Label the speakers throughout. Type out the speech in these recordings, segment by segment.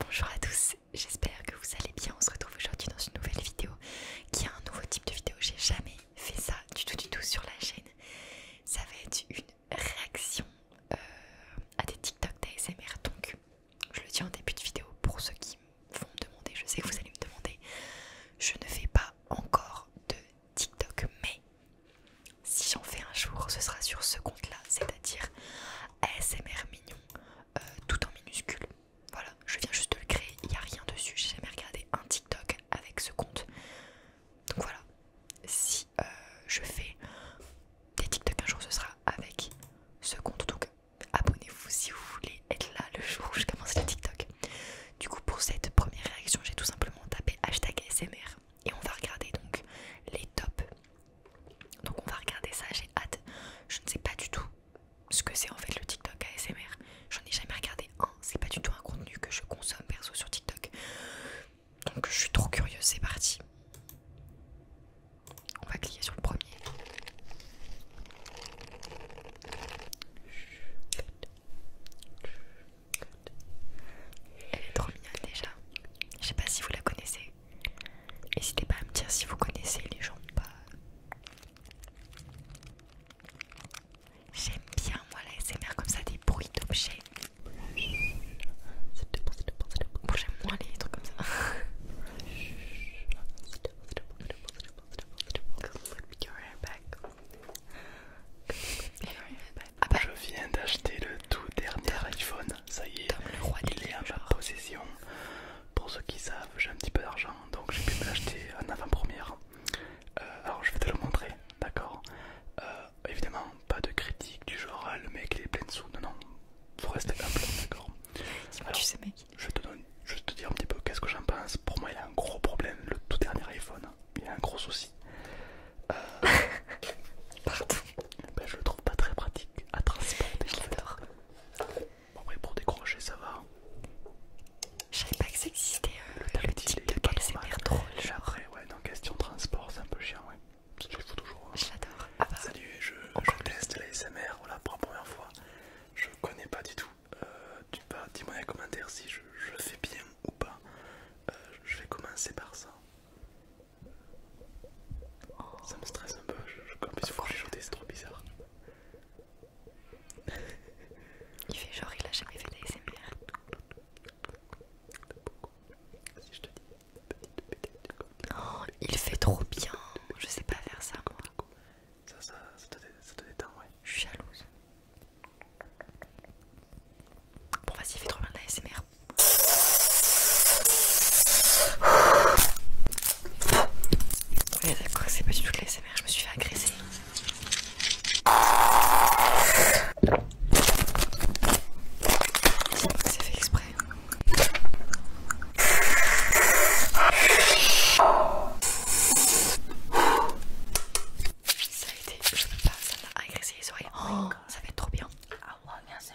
Speaker 1: Bonjour à tous, j'espère que vous allez bien. On se retrouve aujourd'hui dans une nouvelle vidéo qui est un nouveau type de vidéo. J'ai jamais fait ça du tout, du tout sur la chaîne. Ça va être une réaction euh, à des TikTok d'ASMR. Donc, je le dis en début de vidéo pour ceux qui vont me demander. Je sais que vous allez me demander. Je ne fais pas encore de TikTok, mais si j'en fais un jour, ce sera sur ce compte là, c'est à dire ASMR mignon. Euh, tout en minuscule. Voilà, je viens juste de le créer, il n'y a rien dessus, j'ai jamais regardé un TikTok avec ce compte. Donc voilà, si euh, je fais des TikTok un jour, ce sera avec ce compte. Donc abonnez-vous si vous voulez être là le jour où je commence les TikTok. Du coup, pour cette première réaction, j'ai tout simplement tapé hashtag SMR et on va regarder donc les tops donc on va regarder ça, j'ai hâte. Je ne sais pas du tout ce que c'est en fait le TikTok ASMR. J'en ai jamais regardé un, c'est pas du tout un contenu que je consomme perso sur TikTok. Donc je suis trop curieuse, c'est parti. On va cliquer sur le premier. Elle est trop mignonne déjà. Je sais pas si vous la connaissez. N'hésitez pas à me dire si vous connaissez les gens pas. J'aime bien moi la comme ça, des bruits d'objets. Bon, j'aime moins les trucs comme ça. Je viens d'acheter le tout dernier iPhone, ça y est, il est en possession. Pour ceux qui savent, j'ai un petit peu d'argent, donc j'ai pu me l'acheter en avant-première. Euh, alors je vais te le montrer, d'accord euh, Évidemment, pas de critique du genre ah, le mec il est plein de sous, non, non, faut rester plein, d'accord tu sais, mec. je vais te, dire un petit peu qu'est-ce que j'en pense. Pour moi, il a un gros problème, le tout dernier iPhone, il a un gros souci. Euh, ben, je le trouve pas très pratique à transporter. Je l'adore. Bon, après, pour décrocher, ça va. Je savais pas que ça euh, le, tactile, le type de drôle. Genre. ouais, dans question transport, c'est un peu chiant, ouais. C'est ce je faut toujours. Hein. j'adore ah bah. Salut, je, teste la SMR voilà, pour la première fois. Je connais pas du tout. Euh, dis-moi dans les commentaires si je, fais bien ou pas. Euh, je vais commencer par ça. Ça me stresse un peu, je comme si vous c'est trop bizarre. Il fait genre, il a jamais fait d'ASMR. Oh, il fait trop bien, je sais pas faire ça moi. Ça, te, détend, ouais. Je suis jalouse. Bon, vas-y, fait trop bien de l'ASMR. Oui d'accord, c'est pas du tout de l'ASMR, je me suis fait agresser. que c'est fait exprès. Ça a été, je peux pas, ça m'a agressé les oreilles. Oh, ça fait trop bien. Ah ouais, merci.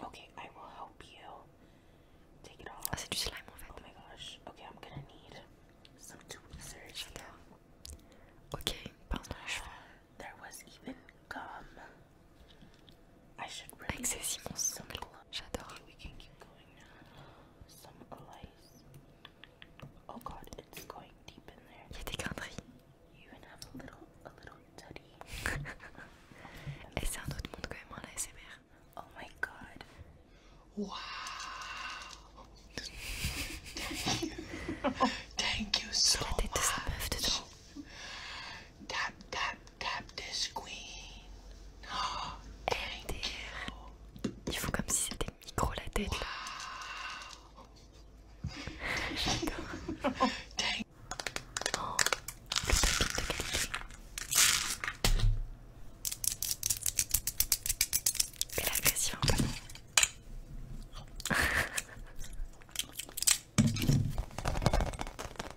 Speaker 1: Okay, I will help you take it off. Ah, c'est du slime en fait. Oh my gosh. Okay, I'm gonna need some tweezers. Ok, pince dans les cheveux. I should really we can keep going Some lice. Oh god, it's going deep in there. Il y a des c'est un autre monde quand même, hein, la Oh my god. Wow. Thank you so much. Il Tap, tap, tap the queen. you. comme si c'était micro la tête. Wow. Oh, le tapis de qualité. Mais la pression,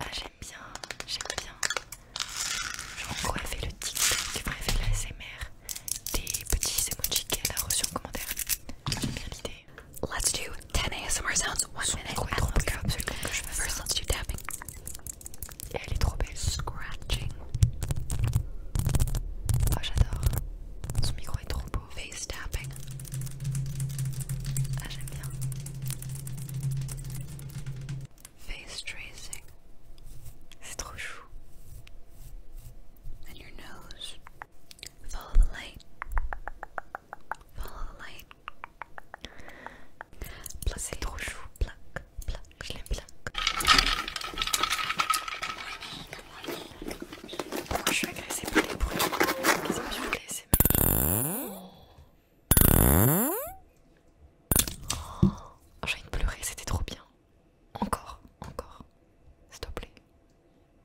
Speaker 1: Ah, j'aime bien, j'aime bien. Genre, quoi fait le tic-tac, bref, la SMR, des petits émotions qu'elle a reçues en commentaire. J'aime bien l'idée. Let's do 10 ASMR sounds. One minute. First, let's do tapping. Scratching. Oh, j'adore. Son micro est trop beau. Face tapping. Ah, j'aime bien. Face tracing. C'est trop chou. And your nose. Follow the light. Follow the light. C'est trop chou. Plaque, plaque, je l'aime plaque. je suis agressée par les bruits. Qu'est-ce que je voulais laisser oh, j'ai envie de pleurer, c'était trop bien. Encore, encore. S'il te plaît.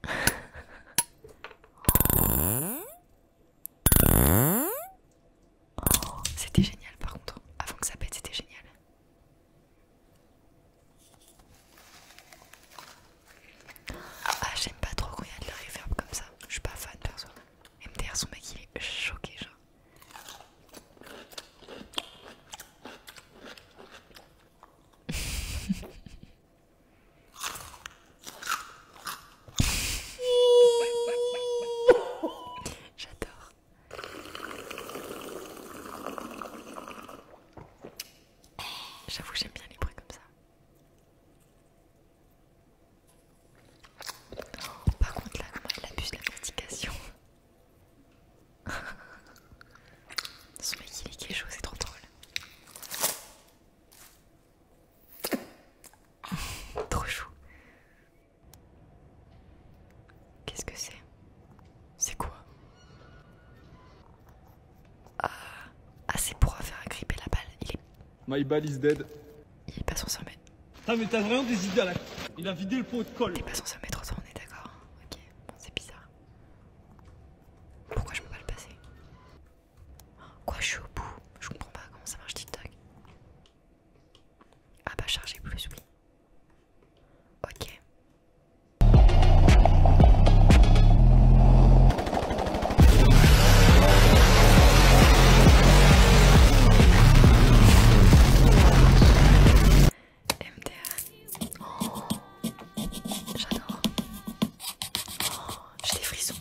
Speaker 1: C'était génial par contre. Avant que ça pète, c'était génial. Ah, j'aime pas trop quand il y a de la comme ça. Je suis pas fan perso. MDR, son mec, il est choqué, genre. J'adore. J'avoue, que j'aime bien les bruits comme ça. par contre, là, elle abuse la mastication. Ce mec, il est quelque c'est trop drôle. Trop chou. Qu'est-ce que c'est C'est quoi ah, ah, c'est pour faire agripper la balle. Il est. My ball is dead. Il est pas son sommet. Putain, mais t'as vraiment des idées là. Il a vidé le pot de colle. Il est pas son sommet, trop on est d'accord. Ok, c'est bizarre. Pourquoi je peux pas le passer Quoi, je suis au bout Je comprends pas comment ça marche TikTok. Ah bah chargez plus, oui. Ok. MDR. Oh, j'adore. Oh, j'ai des frissons.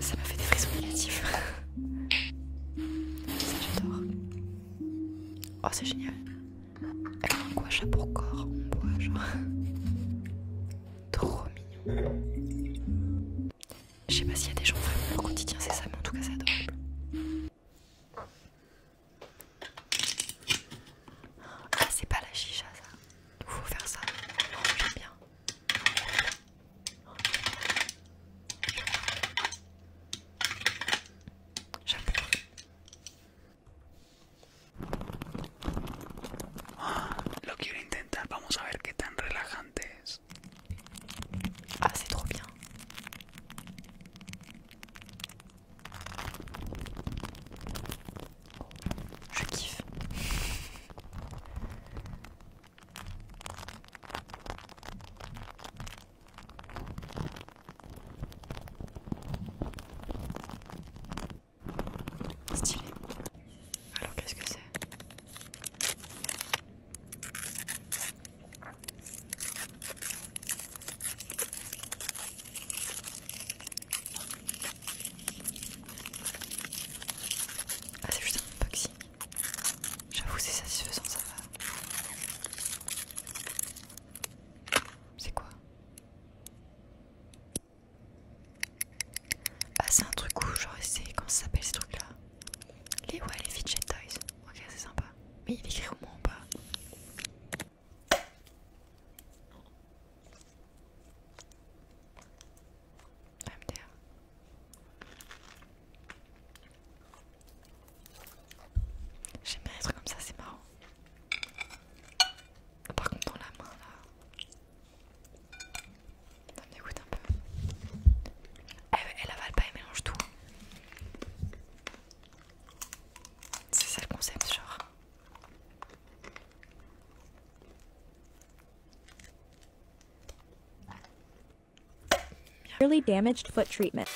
Speaker 1: ça m'a fait des frissons négatifs. Ça j'adore. Oh c'est génial. Elle a un gouache pour corps en genre. Trop mignon. Je sais pas s'il y a des gens qui leur quotidien c'est ça mais en tout cas c'est adorable. Ah, c'est pas la chicha ça. Il faut faire ça. Oh, J'aime bien. J'approuve. Ah, lo quiero intentar. Vamos a ver qué tan relajante es. Ah, c'est trop bien. Oh, je kiffe. Stylé. Alors qu'est-ce que c'est ah c'est juste un unboxing. J'avoue c'est satisfaisant ça va. C'est quoi Ah c'est un truc où genre c'est comment ça s'appelle ce truc là Les ouais les fidget toys. Ok, c'est sympa. Mais il écrit au moins ou pas MDR. J'aime bien les trucs comme ça, c'est marrant. Par contre, dans la main là, ça me dégoûte un peu. Elle, avale pas, elle mélange tout. C'est ça le concept, genre. Really damaged foot treatment.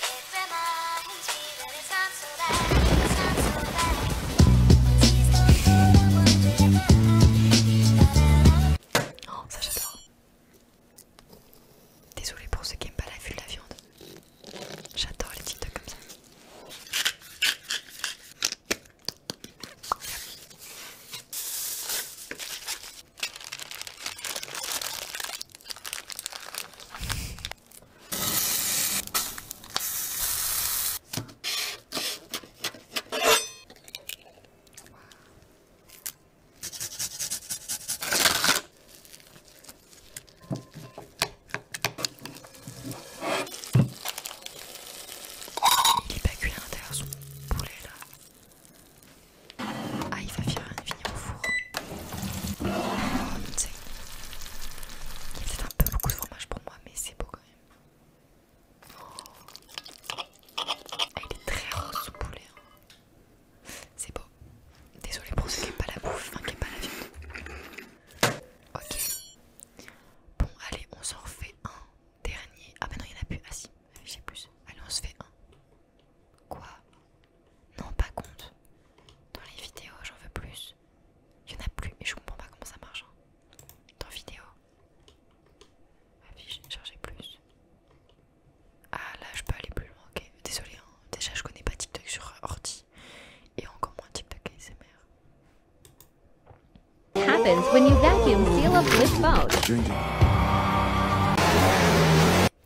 Speaker 1: Oh, ça j'adore. Désolée pour ceux qui n'aiment pas la vue de la viande. J'adore les titres comme ça. Il est pas cuit à l'intérieur son poulet là. Ah il va finir, fini au four. Ah, tu sais. Il y a peut-être un peu beaucoup de fromage pour moi mais c'est beau quand même. Oh. Ah, il est très rose ce poulet. Hein. C'est beau. Désolé pour ceux qui n'aiment pas la bouffe, enfin qui pas la vie. Ok. Bon, allez, on s'en refait un dernier. Ah bah non, il y en a plus. Ah si, j'ai plus. Allez, on se fait un. Quoi Non, pas compte. Dans les vidéos, j'en veux plus. Il en a plus, mais je comprends pas comment ça marche. Hein. Dans vidéo. Affiche, charger plus. Ah là, je peux aller plus loin, ok. Désolé, hein. déjà je connais pas TikTok sur ordi et encore moins TikTok ASMR.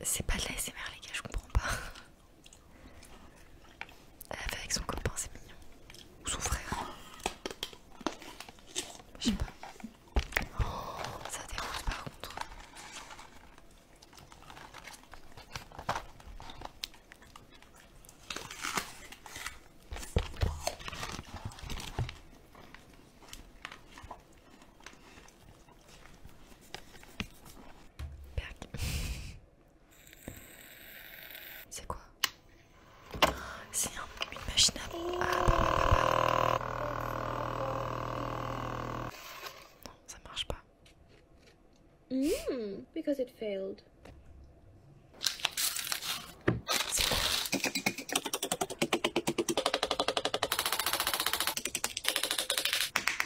Speaker 1: C'est pas de l'ASMR les gars, je comprends pas. Elle fait avec son copain, c'est mignon. Ou son frère. Je sais pas. Oh, ça déroule par contre. C'est quoi C'est un, une machine non, ça marche pas. Hmm, because it failed.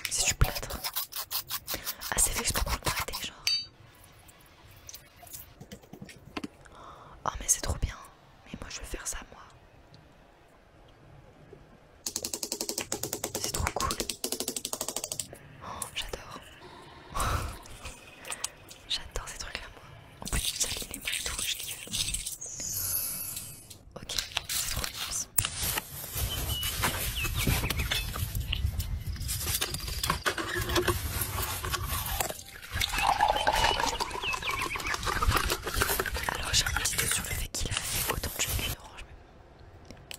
Speaker 1: C'est du plâtre. Ah, c'est je peux pour le prêter genre. Oh, mais c'est trop bien. Mais moi, je vais faire ça, moi. C'est trop cool. Oh, j'adore. j'adore ces trucs là, moi. En plus, ça les mains tout, je Ok, c'est trop alors j'ai un petit doute sur le fait qu'il a fait autant de jus orange.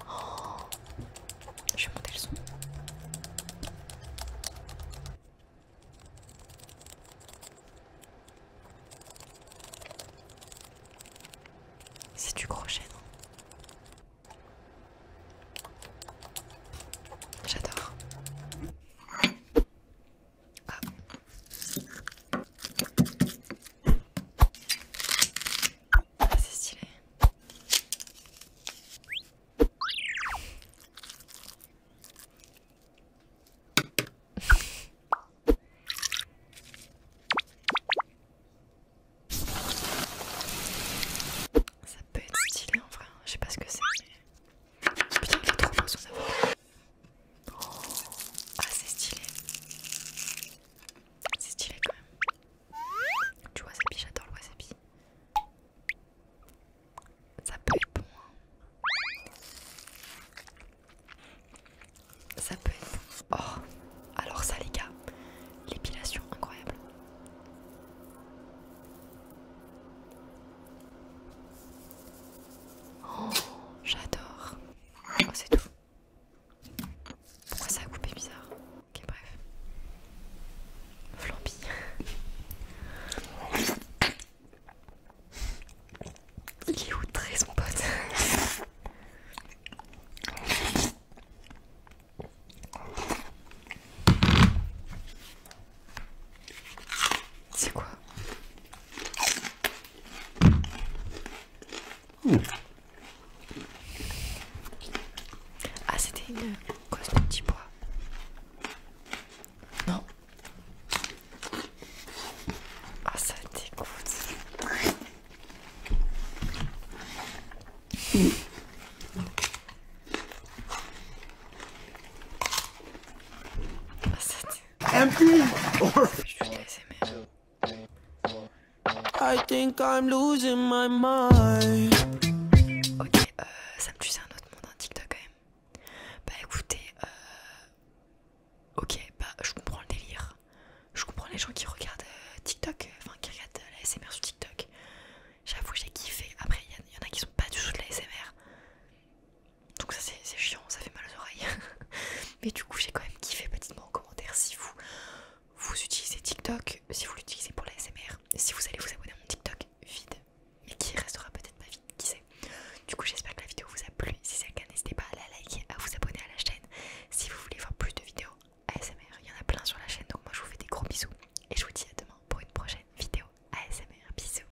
Speaker 1: Oh je vais monter le son. C'est du gros non hein. J'adore. Ah. c'est stylé. Ça peut être stylé en vrai, je sais pas ce que c'est mais... Putain il est trop beau son avocat ah, c'est stylé. C'est stylé quand même. tu Du wasabi, j'adore le wasabi. Ça peut être bon. Hein. Ça peut être bon. Oh, alors ça, les gars, l'épilation incroyable. Oh, j'adore. Oh, c'est tout. Pourquoi ça a coupé bizarre Ok, bref. Flambi. Il est outré son pote. C'est quoi Ah, c'était une ce de petit bois. Non. Ah, ça dégoûte. Mmh. Ah, ça Ok, euh, ça me tue, c'est un autre monde, TikTok quand même. Bah écoutez, euh... ok, bah je comprends le délire. Je comprends les gens qui regardent euh, TikTok, euh, enfin qui regardent l'ASMR la SMR sur TikTok. J'avoue, j'ai kiffé. Après, il y, en a qui sont pas du tout de la SMR donc ça c'est chiant, ça fait mal aux oreilles. Mais du coup j'ai quand même kiffé, Petitement en commentaire si vous vous utilisez TikTok, si vous l'utilisez pour la SMR, si vous allez vous abonner à mon TikTok vide, mais qui restera peut-être pas vide, qui sait. Du coup j'espère que la vidéo vous a plu, si c'est le cas n'hésitez pas à la liker, à vous abonner à la chaîne. Si vous voulez voir plus de vidéos ASMR, il y en a plein sur la chaîne, donc moi je vous fais des gros bisous et je vous dis à demain pour une prochaine vidéo ASMR. Bisous